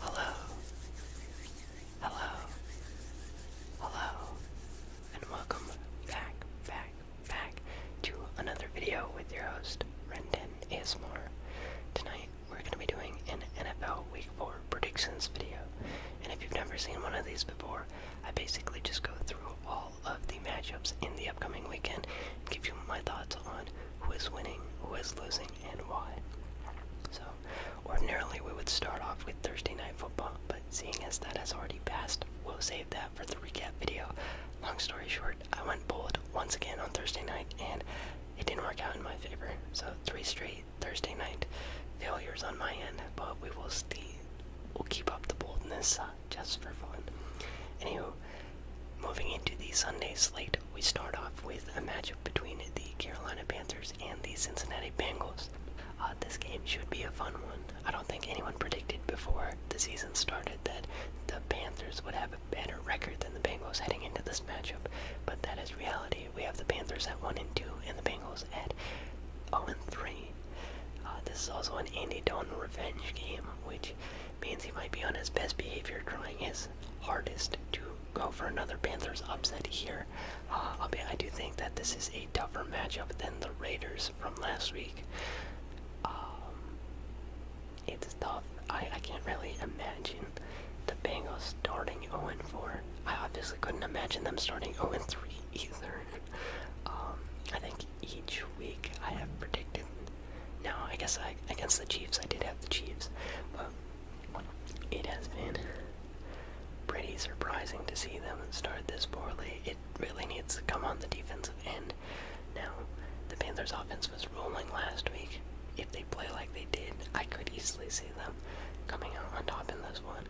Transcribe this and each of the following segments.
Hello. Hello. Hello. And welcome back, back, back to another video with your host, Rendon Ismore. Tonight we're going to be doing an NFL Week 4 predictions video. And if you've never seen one of these before, I basically just go through all of the matchups in the upcoming weekend and give you my thoughts on who is winning, who is losing, and why. So, ordinarily we would start off with Thursday Night Football, but seeing as that has already passed, we'll save that for the recap video. Long story short, I went bold once again on Thursday night, and it didn't work out in my favor. So, three straight Thursday night failures on my end, but we will see. We'll keep up the boldness uh, just for fun. Anywho, Moving into the Sunday slate, we start off with a matchup between the Carolina Panthers and the Cincinnati Bengals. Uh, this game should be a fun one. I don't think anyone predicted before the season started that the Panthers would have a better record than the Bengals heading into this matchup, but that is reality. We have the Panthers at 1 and 2 and the Bengals at 0 and 3. Uh, this is also an Andy Dalton revenge game, which means he might be on his best behavior, trying his hardest to go for another Panthers upset here. Uh, I'll I do think that this is a tougher matchup than the Raiders from last week. Um, it's tough. I, I can't really imagine the Bengals starting 0-4. I obviously couldn't imagine them starting 0-3 either. Um, I think each week I have predicted no, I guess I against the Chiefs I did have the Chiefs, but it has been pretty surprising to see them start this poorly. It really needs to come on the defensive end. Now, the Panthers' offense was rolling last week. If they play like they did, I could easily see them coming out on top in this one.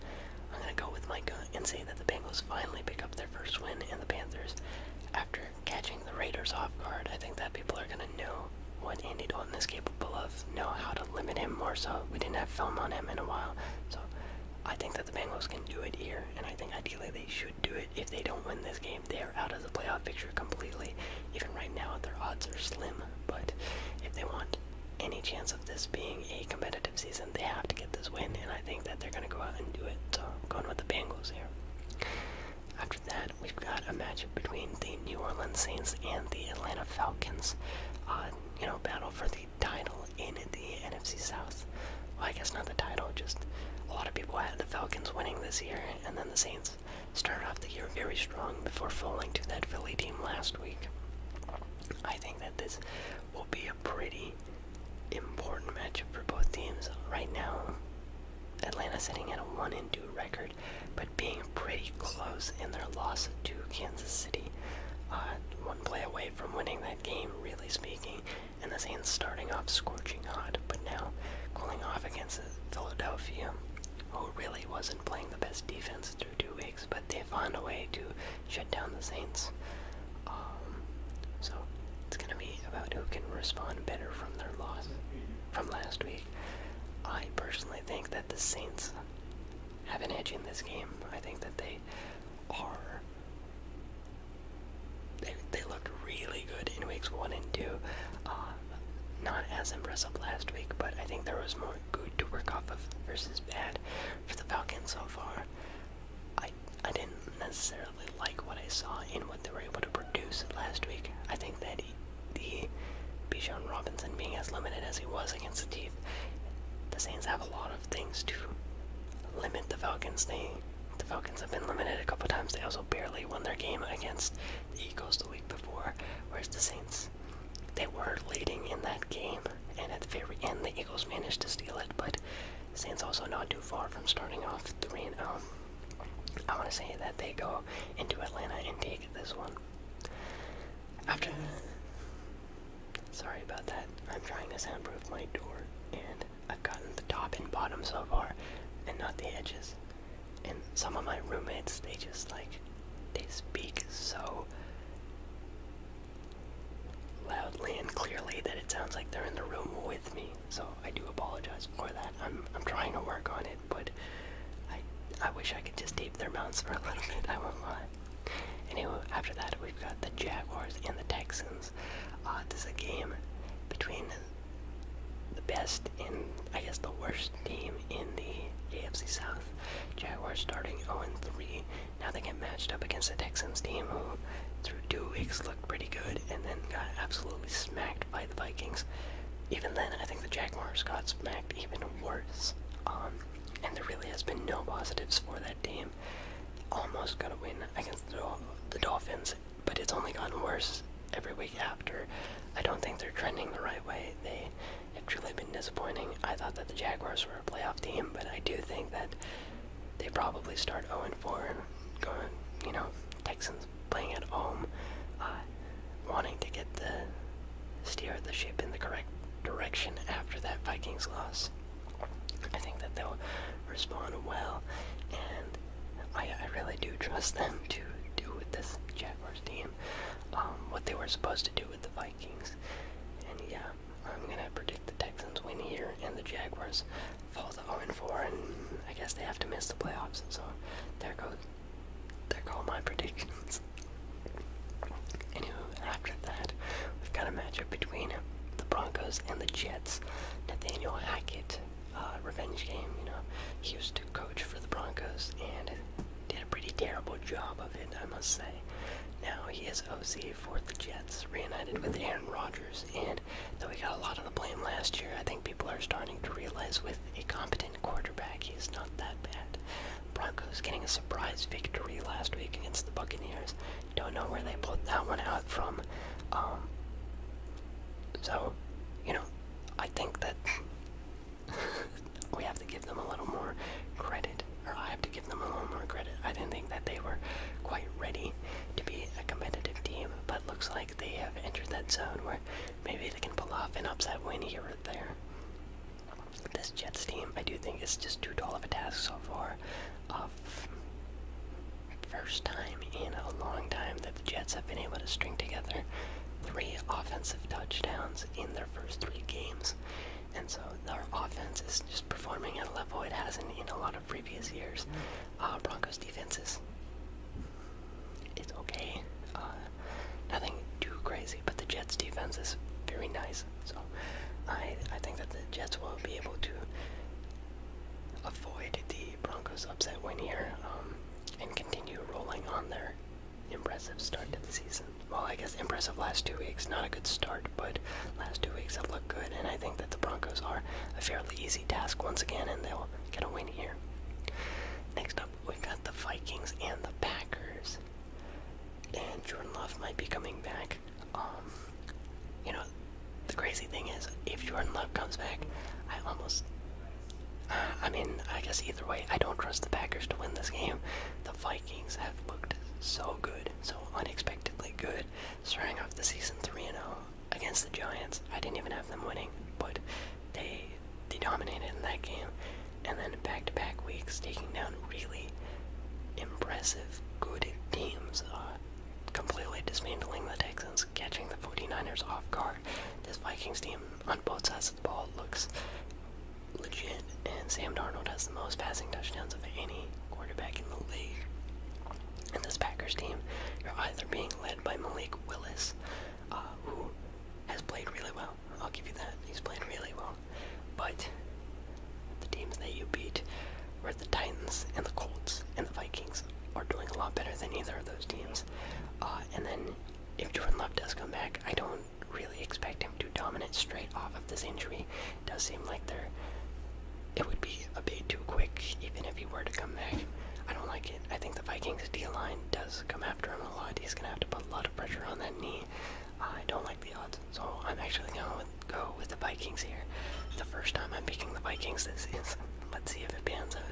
I'm gonna go with my gut and say that the Bengals finally pick up their first win, and the Panthers, after catching the Raiders off guard. I think that people are gonna know what Andy Dalton is capable of, know how to limit him more so. We didn't have film on him in a while. So I think that the Bengals can do it here, and I think ideally they should do it. If they don't win this game, they are out of the playoff picture completely. Even right now, their odds are slim, but if they want any chance of this being a competitive season, they have to get this win, and I think that they're going to go out and do it. So I'm going with the Bengals here. After that, we've got a matchup between the New Orleans Saints and the Atlanta Falcons. Uh, you know, battle for the title in the NFC South. I guess not the title, just a lot of people had the Falcons winning this year, and then the Saints started off the year very strong before falling to that Philly team last week. I think that this will be a pretty important matchup for both teams. Right now, Atlanta sitting at a 1 and 2 record third, but being pretty close in their loss to Kansas City. Uh, one play away from winning that game, really speaking, and the Saints starting off scorching hot, but now cooling off against Philadelphia, who really wasn't playing the best defense through two weeks, but they found a way to shut down the Saints. Um, so it's going to be about who can respond better from their loss from last week three. I personally think that the Saints have an edge in this game. I think that they are. They, they looked really good in weeks one and two. Uh, not as impressive last week, but I think there was more good to work off of versus bad for the Falcons so far. I I didn't necessarily like what I saw in what they were able to produce last week. I think that the Bijan Robinson being as limited as he was against the Chiefs, the Saints have a lot of things to limit the Falcons. They, the Falcons have been limited a couple times. They also barely won their game against the Eagles the week before, whereas the Saints, they were leading in that game, and at the very end, the Eagles managed to steal it. But the Saints also not too far from starting off three and out. Oh. I want to say that they go into Atlanta and take this one. After. Sorry about that. I'm trying to soundproof my door, and I've gotten the top and bottom so far, and not the edges. And some of my roommates, they just like. They speak so loudly and clearly that it sounds like they're in the room with me so I do apologize for that. I'm I'm trying to work on it, but I I wish I could just tape their mouths for a little bit. I won't lie. Anyway, after that we've got the Jaguars and the Texans. Uh, this is a game between the best and I guess the worst team in the AFC South. Jaguars starting 0-3. Now they get matched up against the Texans team who through two weeks look pretty good and then got absolutely smacked by the Vikings. Even then, I think the Jaguars got smacked even worse. Um, and there really has been no positives for that team. Almost got a win against the, Dolphins, but it's only gotten worse every week after. I don't think they're trending the right way. They have truly been disappointing. I thought that the Jaguars were a playoff team, but I do think that they probably start 0 4 and going, you know, Texans playing at home, uh, wanting to get the steer the ship in the correct direction after that Vikings loss. I think that they'll respond well, and I, I really do trust them to do with this Jaguars team um, what they were supposed to do with the Vikings. And yeah, I'm gonna predict the Texans win here and the Jaguars falls to 0-4, and I guess they have to miss the playoffs. So there goes, there go my predictions. Anywho, after that, we've got a matchup between the Broncos and the Jets. Nathaniel Hackett, uh, revenge game. You know, he used to coach for the Broncos and did a pretty terrible job of it, I must say. Now he is OC for the Jets, reunited with Aaron Rodgers, and side. Though he got a lot of the blame last year, I think people are starting to realize with a competent quarterback, he's not that bad. Broncos getting a surprise victory last week against the Buccaneers. Don't know where they pulled that one out from. Um, so, you know, I think that we have to give them a little more credit, or I have to give them a little more credit. I didn't think that they were quite ready to be a competitive team, but looks like they have entered that zone where maybe they can pull off an upset win here or there. This Jets team, I do think, is just too tall of a task so far. Uh, first time in a long time that the Jets have been able to string together three offensive touchdowns in their first three games. And so their offense is just performing at a level it hasn't in a lot of previous years. Uh, Broncos defenses it's okay. Uh, nothing too crazy, but the Jets' defense is very nice. So I I think that the Jets will be able to avoid the Broncos' upset win here um, and continue rolling on their impressive start to the season. Well, I guess impressive last two weeks. Not a good start, but last two weeks have looked good, and I think that the Broncos are a fairly easy task once again, and they'll still get win here. Next up, we've got the Vikings and the Packers. And Jordan Love might be coming back. Um, you know, the crazy thing is, if Jordan Love comes back, I almost. Uh, I mean, I guess either way, I don't trust the Packers to win this game. The Vikings have looked so good, so unexpectedly good, starting off the season 3 0 against the Giants. I didn't even have them winning, but they they dominated in that game. And then back-to-back weeks, taking down really impressive, good teams. Uh, completely dismantling the Texans, catching the 49ers off guard. This Vikings team on both sides of the ball looks legit, and Sam Darnold has the most passing touchdowns of any quarterback in the league. And this Packers team, you're either being led by Malik Willis, uh, who has played really well. I'll give you that. He's played really well. But the teams that you beat were the Titans and the Colts and the Vikings are doing a lot better than either of those teams. Uh, and then if Jordan Love does come back, I don't really expect him to dominate straight off of this injury. It does seem like they're it would be a bit too quick even if he were to come back. I don't like it. I think the Vikings D line does come after him a lot. He's gonna have to put a lot of pressure on that knee. I don't like the odds, so I'm actually gonna go with the Vikings here. The first time I'm picking the Vikings this is. Let's see if it pans out.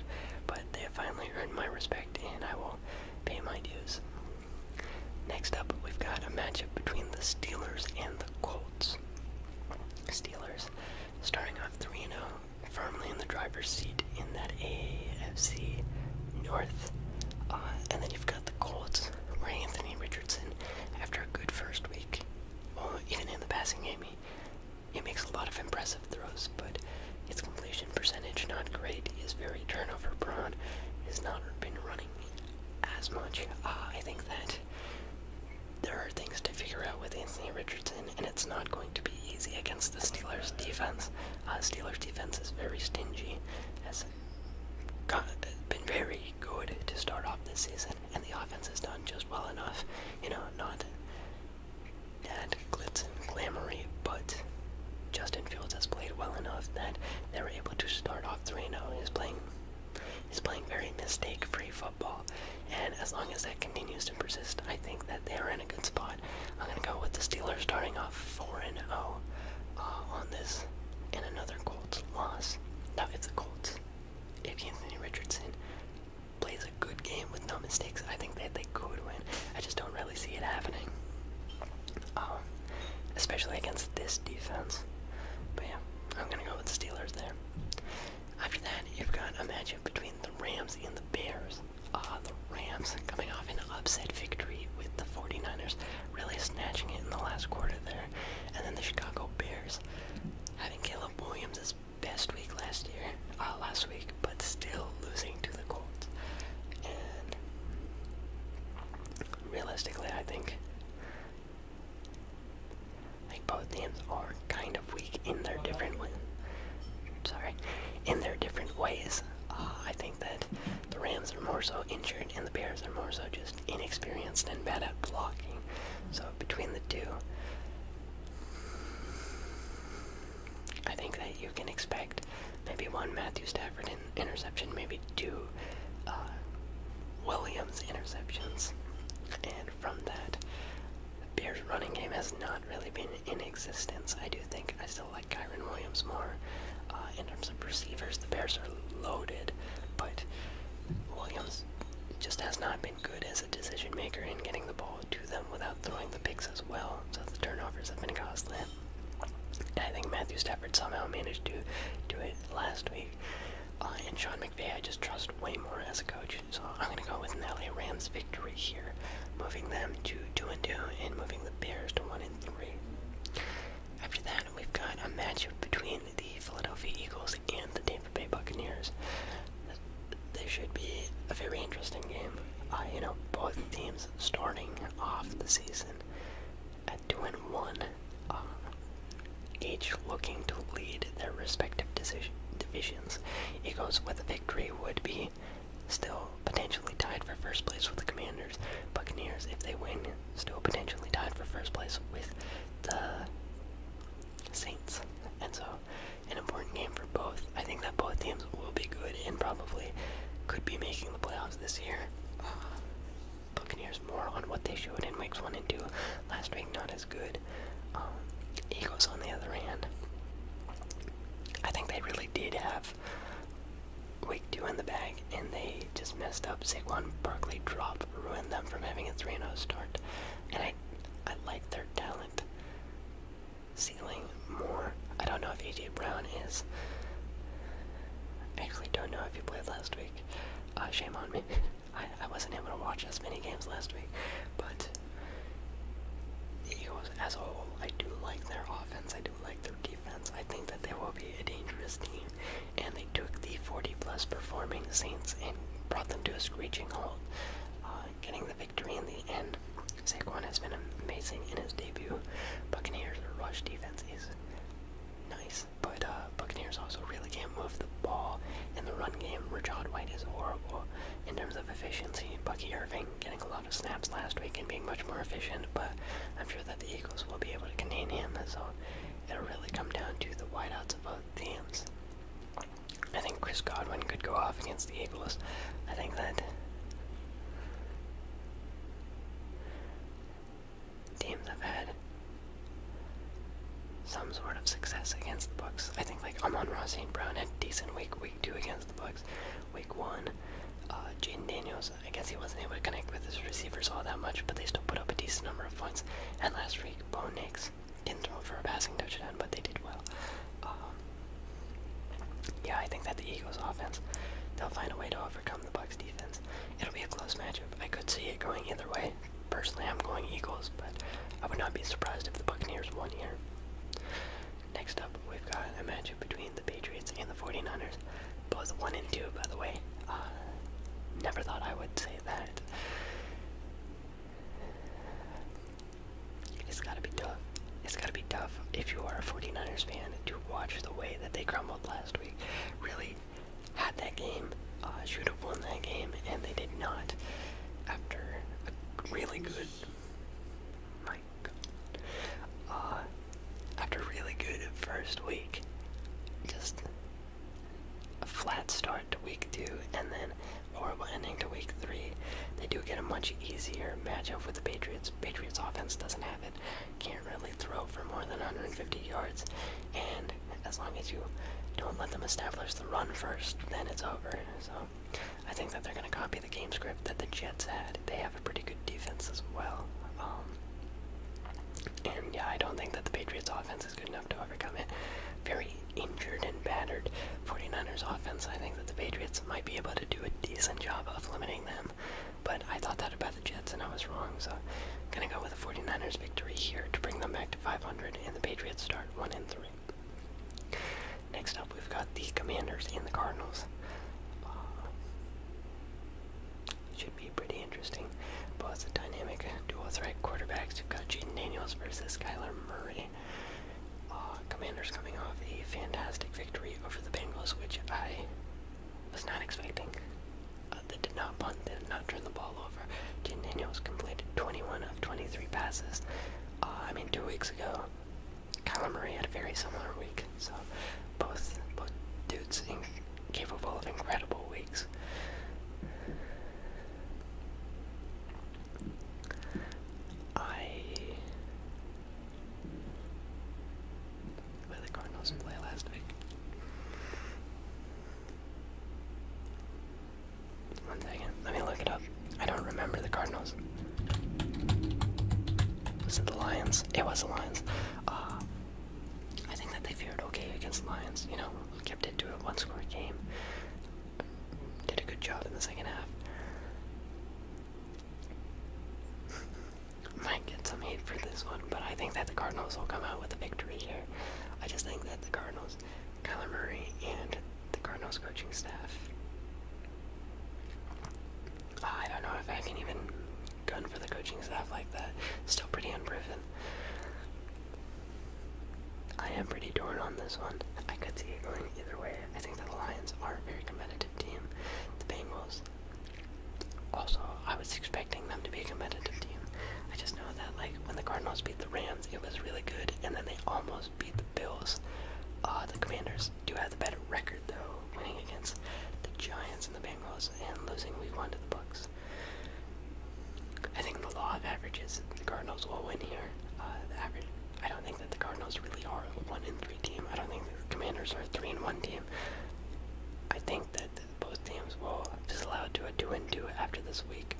But they have finally earned my respect, and I will pay my dues. Next up, we've got a matchup between the Steelers and the Colts. Steelers starting off 3 0, firmly in the driver's seat in that AFC North. Uh, and then you've got the Colts, where Anthony Richardson, after a good first week, even in the passing game, he, makes a lot of impressive throws, but his completion percentage not great. is very turnover prone. Has not been running as much. Uh, I think that there are things to figure out with Anthony Richardson, and it's not going to be easy against the Steelers' defense. Uh, Steelers' defense is very stingy, has got, been very good to start off this season, and the offense has done just well enough. You know, not that glitz and glamoury, but Justin Fields has played well enough that they were able to start off 3 0. He's playing He's playing very mistake-free football, and as long as that continues to persist, I think that they are in a good spot. I'm gonna go with the Steelers starting off four and zero oh, uh, on this, and another Colts loss. Now, if the Colts, if Anthony Richardson plays a good game with no mistakes, I think that they could win. I just don't really see it happening, um, especially against this defense. But yeah, I'm gonna go with the Steelers there. After that, you've got a matchup between the Rams and the Bears. Ah, the Rams coming off an upset victory with the 49ers, really snatching it in the last quarter there. And then the Chicago Bears having Caleb Williams' best week last year, uh, last week, but still losing to the Colts. And realistically, I think like both teams are kind of weak in their different ways. Sorry, in their different ways. Uh, I think that the Rams are more so injured, and the Bears are more so just inexperienced and bad at blocking. So between the two, I think that you can expect maybe one Matthew Stafford in interception, maybe two uh, Williams interceptions, and aside from that, the Bears running game has not really been in existence. I do think I still like Kyron Williams more. Uh, in terms of receivers, the Bears are loaded, but Williams just has not been good as a decision maker in getting the ball to them without throwing the picks as well. So the turnovers have been costly. And I think Matthew Stafford somehow managed to do it last week. Uh, and Sean McVay, I just trust way more as a coach so I'm gonna go with an LA Rams victory here, moving them to two and two and moving the Bears to one and three. After that, we've got a matchup between the Philadelphia Eagles and the Tampa Bay Buccaneers. This should be a very interesting game. you know, both teams starting off the season at two and one. Uh, each looking to lead their respective divisions. Eagles with the victory would be still potentially tied for first place with the Commanders. Buccaneers, if they win, still potentially tied for first place with the Saints. And so, an important game for both. I think that both teams will be good and probably could be making the playoffs this year. Uh, Buccaneers more on what they showed in weeks one and two. Last week, not as good. Um, Eagles, on the other hand, I think they really did have week two in the bag, and they just messed up. Saquon Barkley dropped, ruined them from having a 3-0 start, and I, I like their talent ceiling more. I don't know if AJ Brown is. actually don't know if you played last week. Uh, shame on me. I, I wasn't able to watch as many games last week, but Eagles as a whole, I do like their offense. I do like their defense. I think that they will be a dangerous team, and they took the 40-plus performing Saints and brought them to a screeching halt, uh, getting the victory in the end. Saquon has been amazing in his debut. Buccaneers' rush defense is nice. But uh, Buccaneers also really can't move the ball in the run game. Rashad White is horrible in terms of efficiency. Bucky Irving getting a lot of snaps last week and being much more efficient, but I'm sure that the Eagles will be able to contain him. So it'll really come down to the wideouts of both teams. I think Chris Godwin could go off against the Eagles. I think that teams have had some sort of success against the Bucks. I think like Amon Ross and Brown had decent week week two against the Bucks. Week one, uh, Jaden Daniels. I guess he wasn't able to connect with his receivers all that much, but they still put up a decent number of points. And last week, Bone Nix didn't throw for a passing touchdown, but they did well. Um, yeah, I think that the Eagles' offense, they'll find a way to overcome the Bucks' defense. It'll be a close matchup. I could see it going either way. Personally, I'm going Eagles, but I would not be surprised if the Buccaneers won here. Next up, we've got a matchup between the Patriots and the 49ers. Both 1 and 2, by the way. Uh, never thought I would say that. It's gotta be tough. It's gotta be tough if you are a 49ers fan to watch the way that they crumbled last week. Really, had that game, uh, should have won that game, and they did not. After a really good, my uh, after really good first week, just a flat start to week two, and then horrible ending to week three. They do get a much easier matchup with the Patriots. Patriots offense doesn't have it, can't really throw for more than 150 yards, and as long as you don't let them establish the run first, then it's over. So I think that they're going to copy the game script that the Jets had. They have a pretty good defense as well. Um, and yeah, I don't think that the Patriots offense is good enough to overcome it. Very injured and battered 49ers offense. I think that the Patriots might be able to do a decent job of limiting them. But I thought that about the Jets and I was wrong. So I'm going to go with the 49ers victory here to bring them back 500, and the Patriots start 1 and 3. Next up, we've got the Commanders and the Cardinals. Uh, should be pretty interesting. Both the dynamic dual threat quarterbacks. we have got Jaden Daniels versus Kyler Murray. Uh, Commanders coming off a fantastic victory over the Bengals, which I was not expecting. Uh, that did not punt, they did not turn the ball over. Jaden Daniels completed 21 of 23 passes. Uh, I mean, two weeks ago, Kyler Murray had a very similar week. So both both dudes capable of incredible weeks. I. Where the Cardinals play last week. One second, let me look it up. I don't remember the Cardinals. Was it the Lions? It was the Lions. Uh, I think that they fared okay against the Lions. You know, kept it to a one-score game. Did a good job in the second half. Might get some heat for this one, but I think that the Cardinals will come out with a victory here. I just think that the Cardinals, Kyler Murray, and the Cardinals coaching staff. I don't know if I can even gun for the coaching staff like that. Still pretty unproven. I am pretty torn on this one. I could see it going either way. I think that the Lions are a very competitive team. The Bengals also I was expecting them to be a competitive team. I just know that like when the Cardinals beat the Rams, it was really good, and then they almost beat the Bills. Uh, the Commanders do have the better record though, winning against the Giants and the Bengals, and losing Week One to the Bucks. I think the law of averages, the Cardinals will win here. Uh, the average. I don't think that the Cardinals really are a one and three team. I don't think the Commanders are a three and one team. I think that both teams will disallow to a 2 and 2 after this week.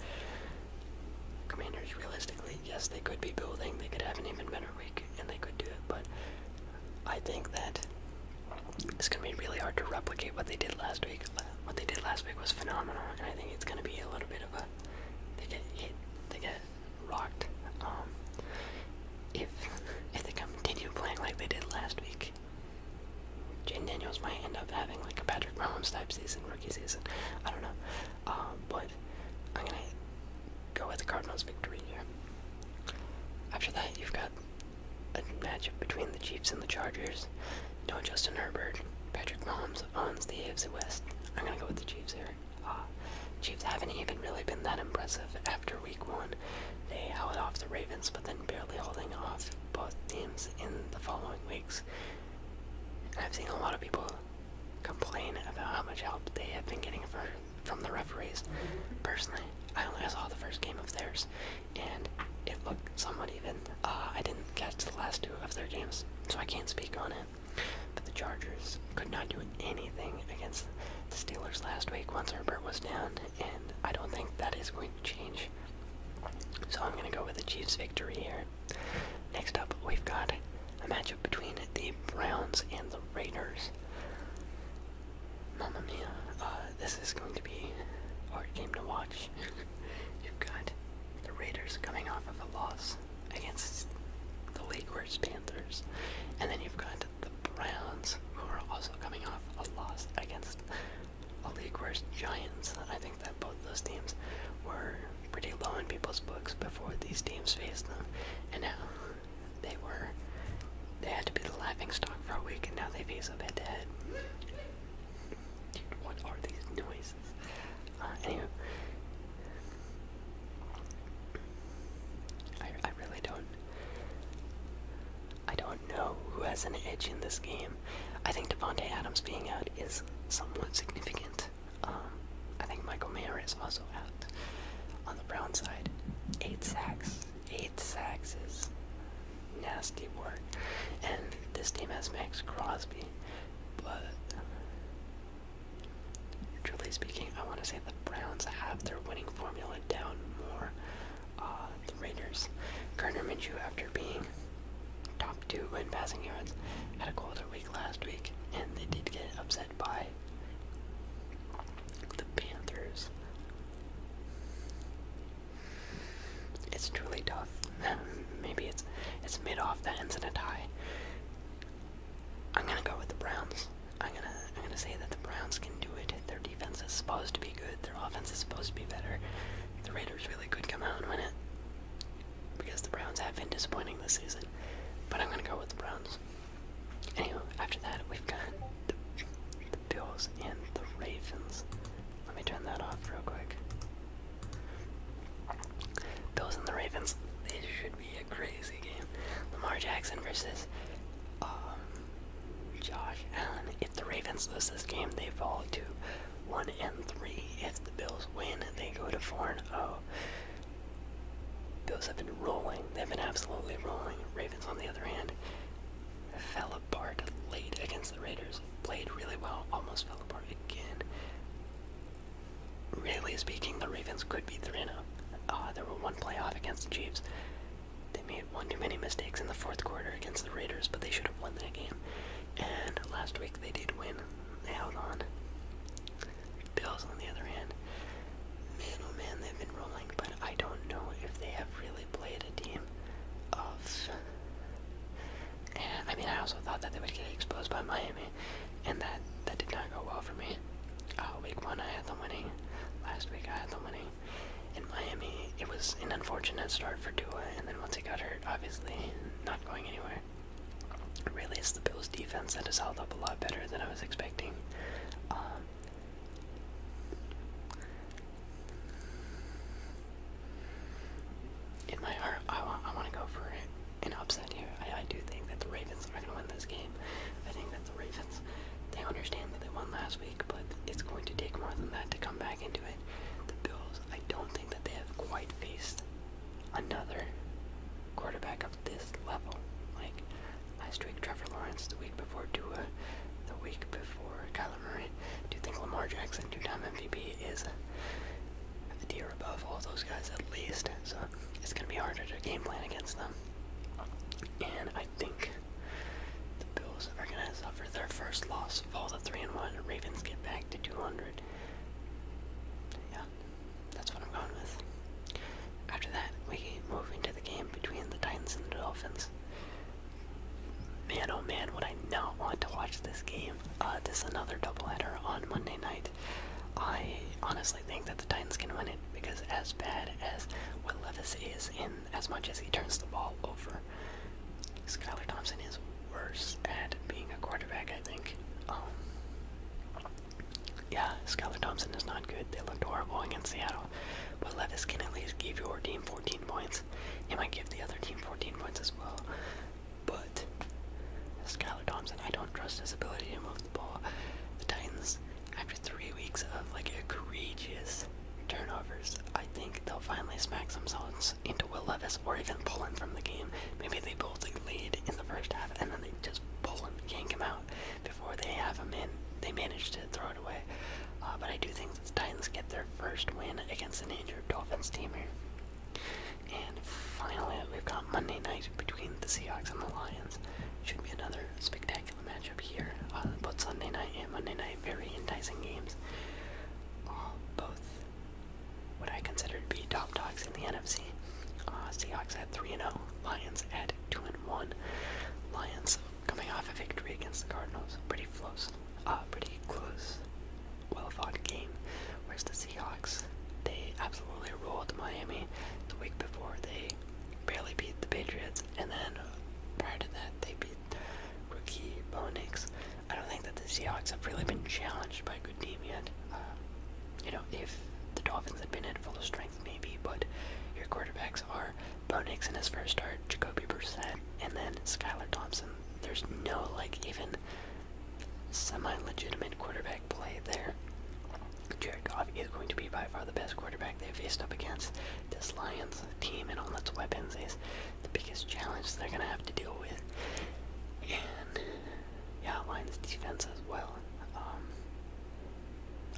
Commanders, realistically, yes, they could be building, they could have an even better week, and they could do it, but I think that it's going to be really hard to replicate what they did last week. What they did last week was phenomenal, and I think it's going to be a little bit of a. They get hit, they get rocked. Um, if if they continue playing like they did last week, Jaden Daniels might end up having like a Patrick Mahomes type season, rookie season. I don't know. Um, but I'm gonna go with the Cardinals victory here. After that, you've got a matchup between the Chiefs and the Chargers. do No Justin Herbert. Patrick Mahomes owns the AFC West. I'm gonna go with the Chiefs here. Uh, Chiefs haven't even really been that impressive after Week One. They held off the Ravens, but then barely holding off both teams in the following weeks. I've seen a lot of people complain about how much help they have been getting for, from the referees. Personally, I only saw the first game of theirs, and it looked somewhat even. Uh, I didn't catch the last two of their games, so I can't speak on it. But the Chargers could not do anything against the Steelers last week once Herbert was down, and I don't think that is going change. So I'm going to go with the Chiefs victory here. Next up, we've got a matchup between the Browns and the Raiders. Mamma mia, uh, this is going to be a hard game to watch. You've got the Raiders coming off of a loss against the league worst Panthers, and then you've got the Browns who are also coming off a loss against a league where Giants, I think that both those teams were pretty low in people's books before these teams faced them, and now they were, they had to be the laughing stock for a week, and now they face up head to head. Dude, what are these noises? Uh, anyway, I, I really don't I don't know who has an edge in this game. I think Devonte Adams being out is somewhat significant. Um, I think Michael Mayer is also out. On the Brown side, eight sacks. Eight sacks is nasty work. And this team has Max Crosby, but truly speaking, I want to say the Browns have their winning formula down more. Uh, Raiders. Gardner Minshew, after being top two in passing yards, had a colder week last week, and they did get upset by the Panthers. It's truly tough. Maybe it's it's mid off the ends in a tie. I'm gonna go with the Browns. I'm gonna I'm gonna say that the Browns can do it. they thirty defense is supposed to be good, their offense is supposed to be better. The Raiders really could come out and win it. Because the Browns have been disappointing this season. But I'm gonna go with the Browns. Anywho, after that we've got the, Bills and the Ravens. Let me turn that off real quick. Bills and the Ravens. It should be a crazy game. Lamar Jackson versus um, Josh Allen. If the Ravens lose this game, they fall to one and three. If the Bills win, they go to four and oh. Bills have been rolling. They've been absolutely rolling. Ravens, on the other hand, fell apart late against the Raiders. Played really well, almost fell apart again. Really speaking, the Ravens could be 3 0. Uh, there were one playoff against the Chiefs. They made one too many mistakes in the fourth quarter against the Raiders, but they should have won that game. And last week they did win. They held on. Bills, on the other hand, man, oh man, they've been rolling, but I don't know if they have really played a team of. And I mean, I also thought that they would get exposed by Miami, and that that did not go well for me. Uh, week one I had the money. last week I had the money. In Miami, it was an unfortunate start for Dua, and then once he got hurt, obviously, not going anywhere. Really, it's the Bills' defense that has held up a lot better than I was expecting. Um, in my heart, I, wa I want to go for an upset here. I do think that the Ravens are going to win this game. I think that the Ravens, they understand that they won last week but it's going to take more than that to come back into it. The Bills, I don't think that they have quite faced another quarterback of this level. Like last week, Trevor Lawrence, the week before Tua, the week before Kyler Murray. Do you think Lamar Jackson, two-time MVP, is the deer above all those guys at least? So it's going to be harder to game plan against them. And I I think the Bills are going to suffer their first loss, of all the 3 and 1. Ravens get back to 200. Yeah, that's what I'm going with. After that, we move into the game between the Titans and the Dolphins. Man, oh man, would I not want to watch this game. Uh, this is another doubleheader on Monday night. I honestly think that the Titans can win it because as bad as what Levis is in as much as he turns the ball over. Skylar Thompson is worse at being a quarterback, I think. Um, yeah, Skylar Thompson is not good. They looked horrible against Seattle. But Levis can at least give your team 14 points. He might give the other team 14 points as well. But Skylar Thompson, I don't trust his ability to move the ball. The Titans after three weeks of like egregious turnovers, I think they'll finally smack themselves into Will Levis or even pull him from the game. Maybe they both like, lead in the first half and then they just pull him, yank him out before they have him in. They manage to throw it away. Uh, but I do think the Titans get their first win against an injured Dolphins team here. And finally, we've got Monday night between the Seahawks and the Lions. Should be another spectacular matchup here on both Sunday night and Monday night. Very enticing games. Uh, both what I consider to be top dogs in the NFC. Uh, Seahawks at 3 0, Lions at 2 1. Lions coming off a victory against the Cardinals. Pretty close. Uh, pretty close. Well fought game. Where's the Seahawks, they absolutely ruled Miami the week before. They barely beat the Patriots, and then prior to that, they beat rookie Bo I don't think that the Seahawks have really been challenged by a good team yet. Um, you know, if the Dolphins had been at full strength, maybe, but your quarterbacks are Bo Nix in his first start, Jacoby Brissett, and then Skylar Thompson. There's no, like, even semi legitimate quarterback play there. J Jared Goff is going to be by far the best quarterback they've faced up against. This Lions team and all its weapons is the biggest challenge they're going to have to deal with. And, yeah, Lions defense as well. Um,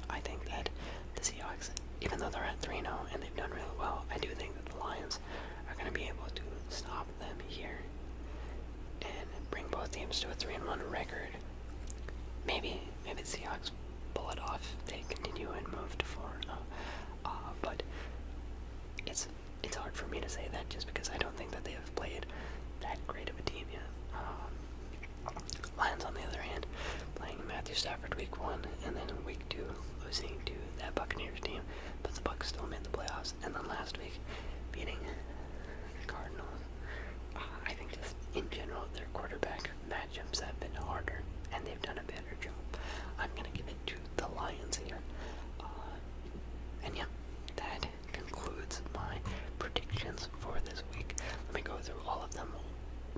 I think that the Seahawks, even though they're at 3 0 and they've done really well, I do think that the Lions are going to be able to stop them here and bring both teams to a 3 1 record. Maybe, maybe the Seahawks pull it off. They continue and move to four. Oh. Uh, but it's it's hard for me to say that just because I don't think that they have played that great of a team yet. Um, Lions, on the other hand, playing Matthew Stafford week one, and then in week two losing to that Buccaneers team, but the Bucks still made the playoffs. And then last week, beating the Cardinals. Uh, I think just in general, their quarterback matchups have been harder, and they've done a better job. I'm gonna give it to the Lions here. Uh, and yeah, that concludes my predictions for this week. Let me go through all of them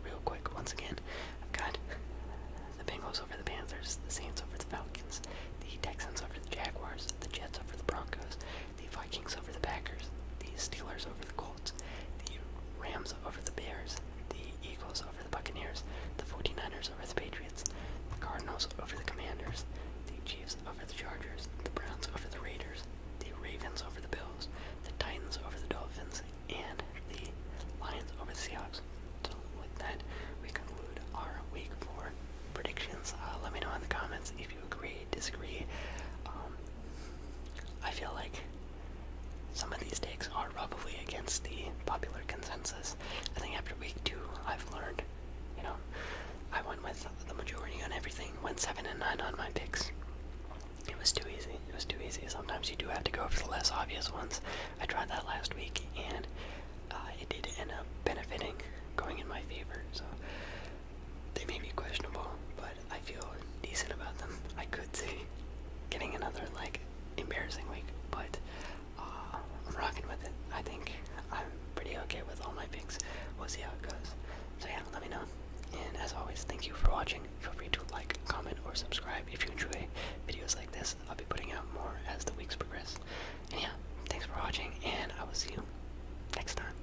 real quick once again. got the Bengals over the Panthers, the Saints over the Falcons, the Texans over the Jaguars, the Jets over the Broncos, the Vikings over the Packers, the Steelers over the Colts the Rams over the Bears, the Eagles over the Buccaneers, the 49ers over the Patriots, the Cardinals over the Commanders, the Chiefs over the Chargers, the Browns over the Raiders, the Ravens over the Bills, the Titans over the Dolphins, and the Lions over the Seahawks. So with that, we conclude our week four predictions. Uh, let me know in the comments if you agree, disagree. Um, I feel like some of these takes are probably against the popular consensus. I think after week two, I've learned, you know, I went with the majority on everything, went seven and nine on my picks. It was too easy. It was too easy. Sometimes you do have to go for the less obvious ones. I tried that last week, and uh, it did end up benefiting, going in my favor. So they may be questionable, but I feel decent about them. I could see getting another like embarrassing week, but uh, I'm rocking with it. I think I'm pretty okay with all my picks. We'll see how it goes. So yeah, let me know. And as always, thank you for watching. Feel free to like, comment, or subscribe if you enjoy videos like this. I'll be putting out more as the weeks progress. And yeah, thanks for watching, and I will see you next time.